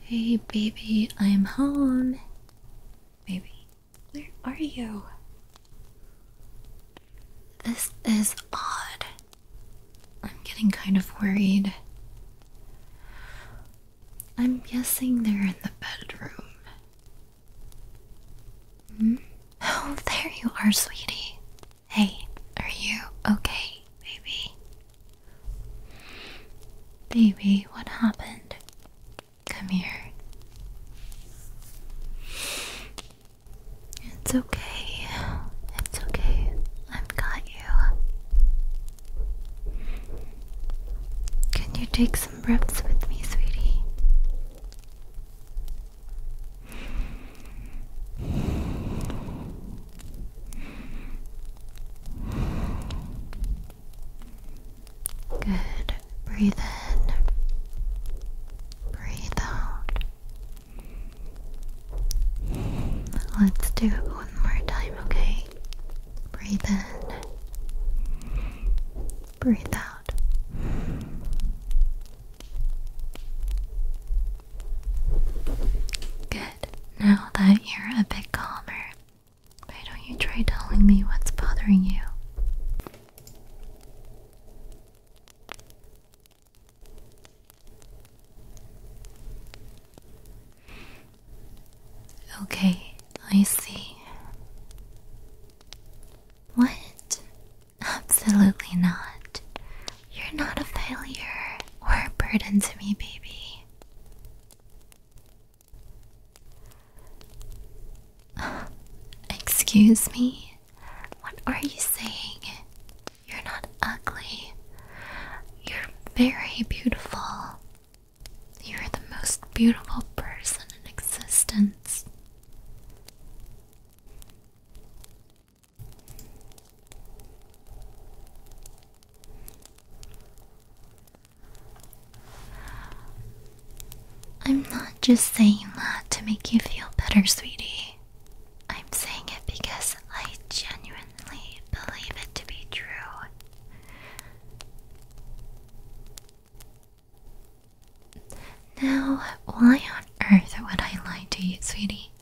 Hey, baby, I'm home. Baby, where are you? This is odd. I'm getting kind of worried. I'm guessing they're in the bedroom. Hmm? Oh, there you are, sweetie. Hey, are you okay, baby? Baby, what happened? Come here. It's okay. It's okay. I've got you. Can you take some breaths with me, sweetie? Good. Breathe in. Breathe out. Let's do it one more time, okay? Breathe in. Breathe out. Good. Now that you're a bit calmer, why don't you try telling me what's bothering you? Okay, I see. What Absolutely not. You're not a failure or a burden to me, baby. Excuse me? What are you saying? You're not ugly. You're very beautiful. You're the most beautiful person in existence. I'm not just saying that to make you feel better, sweetie. I'm saying it because I genuinely believe it to be true. Now, why on earth would I lie to you, sweetie?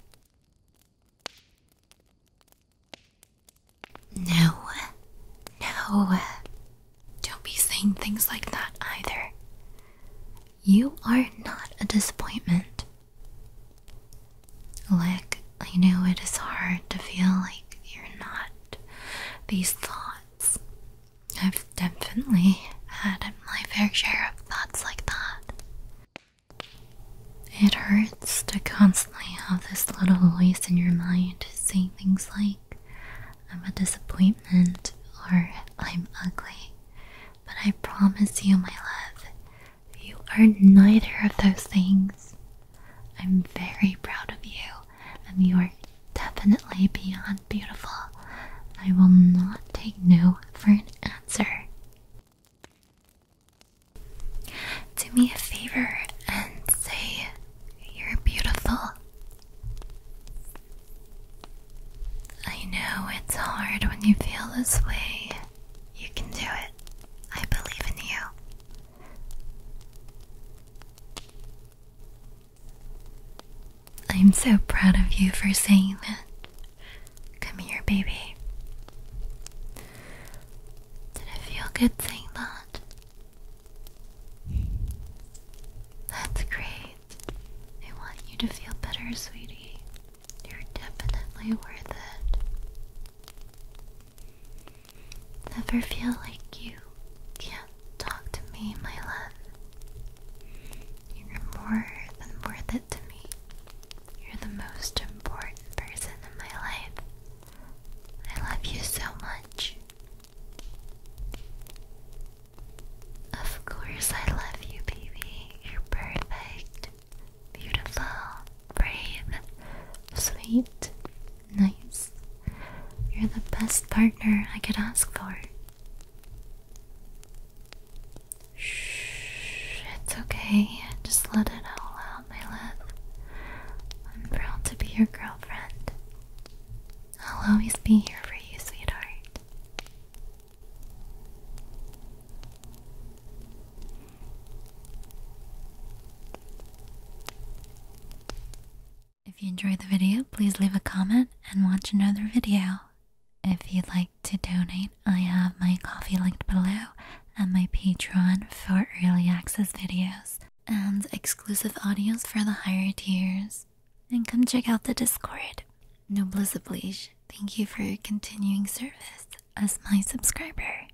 No, no, don't be saying things like that either. You are not a disappointment. Like, I know it is hard to feel like you're not these thoughts, I've definitely had my fair share of thoughts like that. It hurts to constantly have this little voice in your mind saying things like, I'm a disappointment or I'm ugly. But I promise you, my love, you are neither of those things. I'm very proud of you, and you are definitely beyond beautiful. I will not take no for an answer. Do me a favor and say you're beautiful. I know it's hard when you feel this way. You can do it. I believe in you. I'm so proud of you for saying that. Come here, baby. Did it feel good saying that? That's great. I want you to feel better, sweetie. You're definitely worth it. Never feel like you can't talk to me, my love. You're more than worth it to me. You're the most important person in my life. I love you so much. Of course, I love you, baby. You're perfect, beautiful, brave, sweet, Nice. You're the best partner I could ask for. Shh, it's okay. Just let it all out, my love. I'm proud to be your girlfriend. I'll always be here for you, sweetheart. If you enjoyed the video, please leave a comment and watch another video. If you'd like to donate, I have my coffee linked below and my Patreon for early access videos and exclusive audios for the higher tiers. And come check out the Discord. Noblesse oblige, thank you for your continuing service as my subscriber.